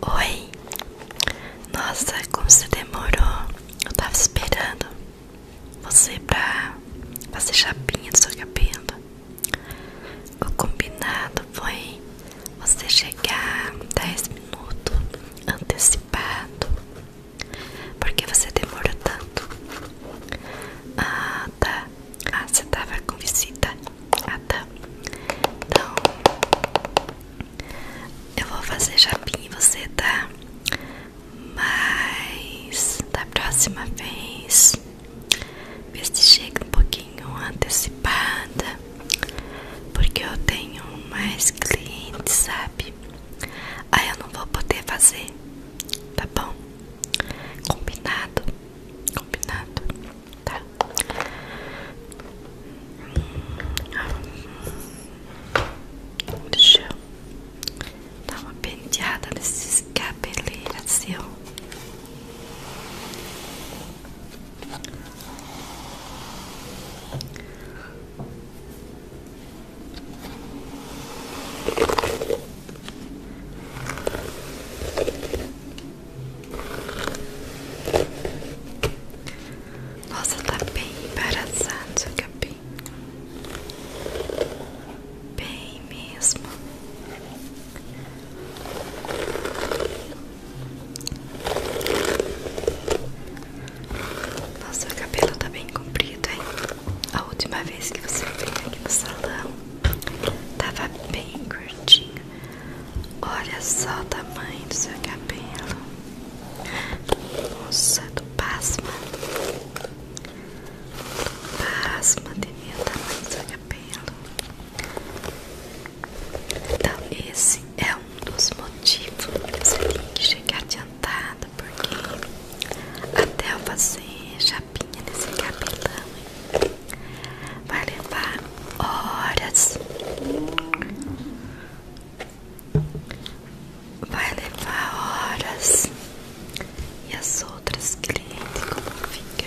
Oi, nossa, como você demorou? Eu tava esperando você pra fazer chapinha do seu cabelo. O combinado foi você chegar 10 minutos antecipado. Por que você demora tanto? Ah, tá. Ah, você tava com visita. Ah, tá. Então, eu vou fazer japinha em você, tá? Mas, da próxima vez, vê se chega um pouquinho antecipada. Porque eu tenho mais clientes, sabe? Aí eu não vou poder fazer, tá bom? Combinado, combinado, tá? Deixa eu dar uma penteada nesses cabeleiras, seu. Nossa, tá bem embaraçado capim. Bem mesmo. Nossa, o cabelo tá bem comprido, hein? A última vez que você veio aqui no salão tava bem curtinho. Olha só o tamanho do seu cabelo. Nossa, do pasma. Do pasma de mim o tamanho do seu cabelo. Então esse é um dos motivos que tem que chegar adiantado, porque até eu fazer chapinha nesse cabelão vai levar horas. Vai levar horas e as outras clientes como fica.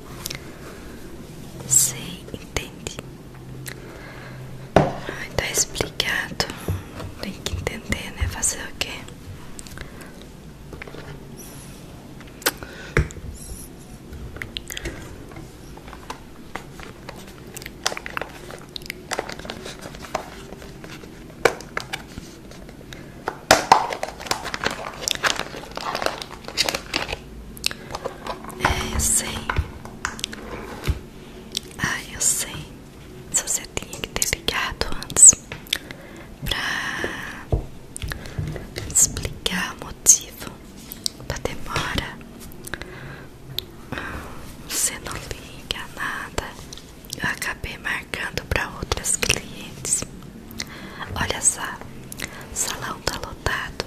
Sei, entende? Ai, tá explicado. Tem que entender, né? Fazer o quê? É, eu sei. Ah, eu sei. Se você tinha que ter ligado antes pra explicar o motivo da demora, você não liga nada. Eu acabei marcando para outras clientes. Olha só, salão tá lotado.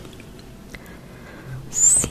Sim.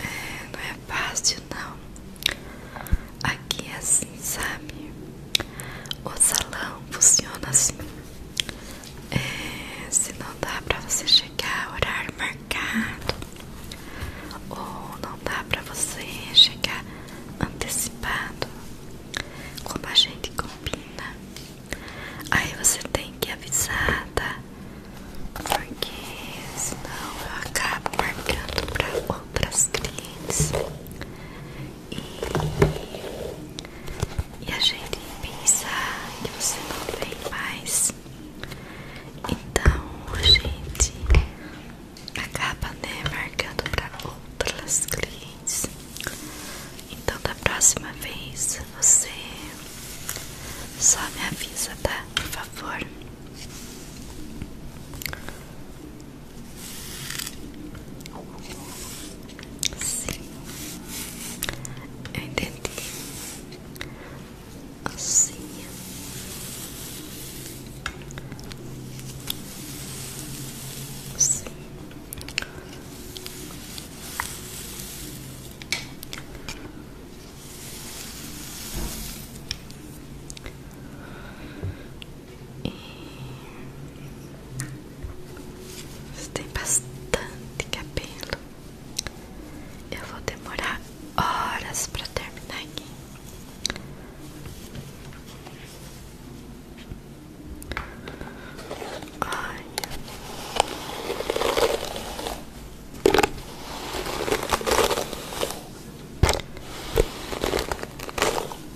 É, não é fácil não. Aqui é assim, sabe? O salão funciona assim. É, se não dá pra você chegar ao horário marcado, ou não dá pra você chegar antecipado, como a gente combina, aí você tem que avisar, tá? Porque senão eu acabo marcando pra outras clientes e, a gente pensa que você não vem mais. Então a gente acaba né, marcando para outras clientes. Então da próxima vez você só me avisa, tá? Por favor. Sim, eu entendi. Assim. E tem bastante cabelo. Eu vou demorar horas para terminar aqui. Olha.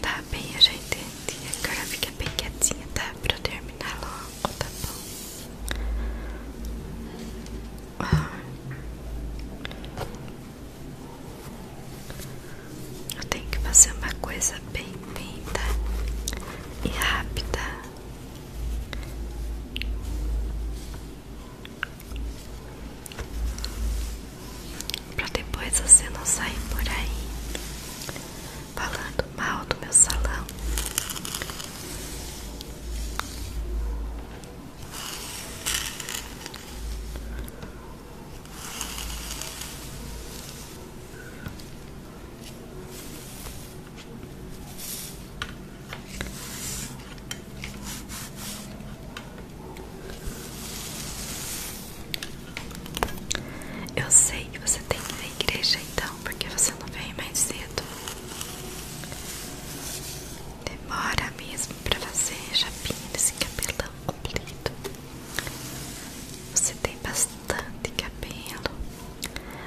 Tá bem, eu já entendi. Agora fica bem quietinha, tá? Pra eu terminar logo, tá bom? Ah. Eu tenho que fazer uma coisa bem feita e rápida. Pra depois você não sair por aí falando mal do meu salão. Eu sei que você tem que ir à igreja então, porque você não vem mais cedo. Demora mesmo pra fazer chapinha desse cabelão completo. Você tem bastante cabelo,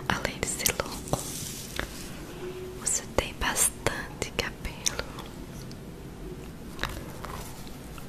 além de ser longo. Você tem bastante cabelo.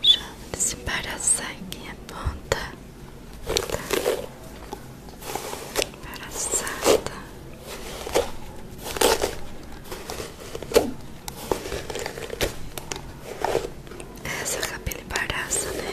Já separa sangue a é ponta Embaraçada é, Essa cabelo embaraça, né?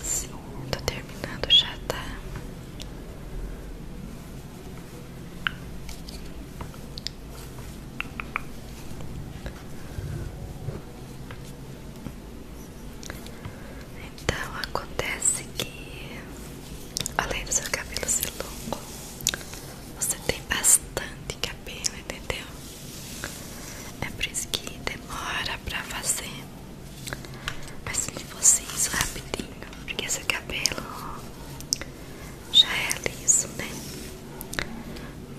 Assim, tô terminando já, tá? Então acontece que além do seu cabelo ser longo, você tem bastante cabelo, entendeu? É por isso que demora pra fazer. Mas se fosse isso rapidinho, porque esse cabelo já é liso, né?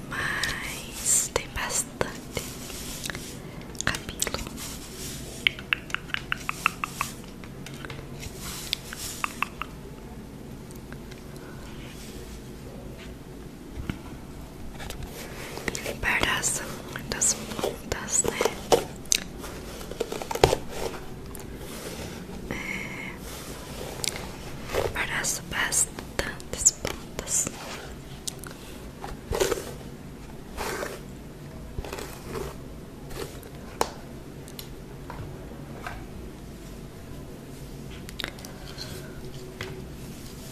Mas tem bastante cabelo. Limpar as das pontas, né? É, limpar bastantes pontas.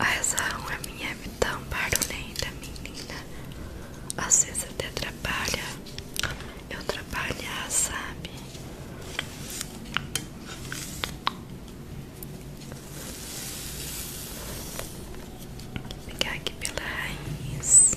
Essa alma é minha tão barulhenta, né, menina. Às vezes até atrapalha. Eu trabalhar, sabe? Vou pegar aqui pela raiz.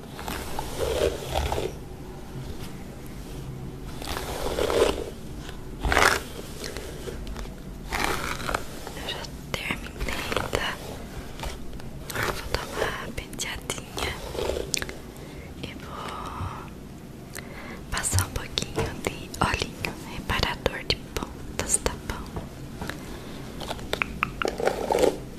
Eu já terminei, tá? Agora vou dar uma penteadinha e vou passar um pouquinho de olhinho reparador de pontas, tá bom?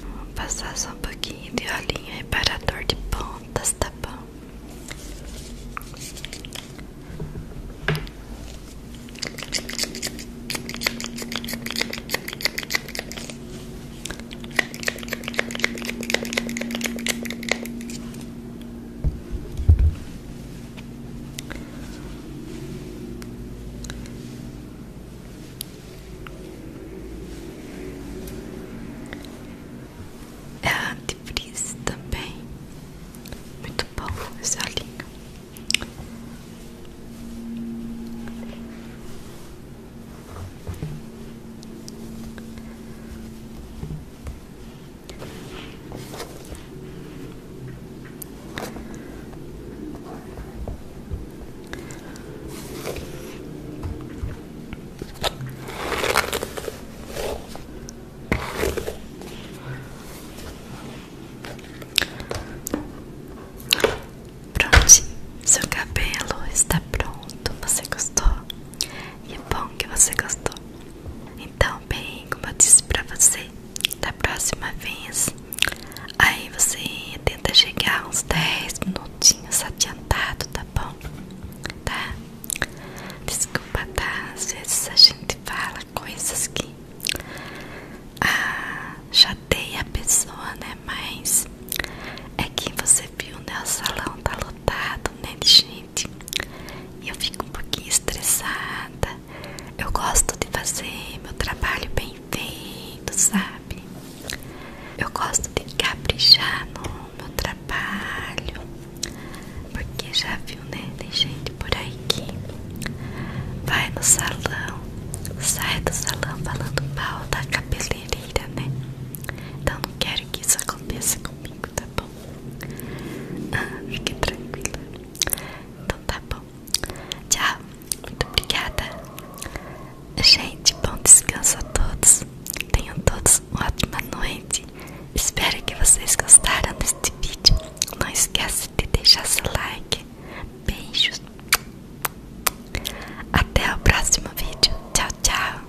Vou passar só um pouquinho de olhinho reparador de pontas, tá bom? É antifreeze também. Muito bom esse olhinho. Prontinho, seu cabelo está pronto. Você gostou? Que é bom que você gostou. Então, bem, como eu disse pra você, da próxima vez, aí você tenta chegar uns 10 minutinhos adiantado, tá bom? Tá? Desculpa, tá? Às vezes a gente fala coisas que ah, chateia a pessoa, né? Mas é quem você viu, né? O salão tá lotado chato, né, gente? eu fico um pouquinho estressada. Eu gosto de fazer meu trabalho bem feito, sabe? Eu gosto de caprichar no meu trabalho. Porque já viu, né? Tem gente por aí que vai no salão, sai do salão falando mal da cabeleireira, né? Então não quero que isso aconteça comigo tá bom? Ah, fique tranquila. Então tá bom. Tchau. Muito obrigada. Gente, bom descanso a todos. Tenham todos uma ótima noite. Espero que vocês gostaram deste vídeo. Não esquece de deixar seu like. Beijos. Até o próximo vídeo. Tchau, tchau.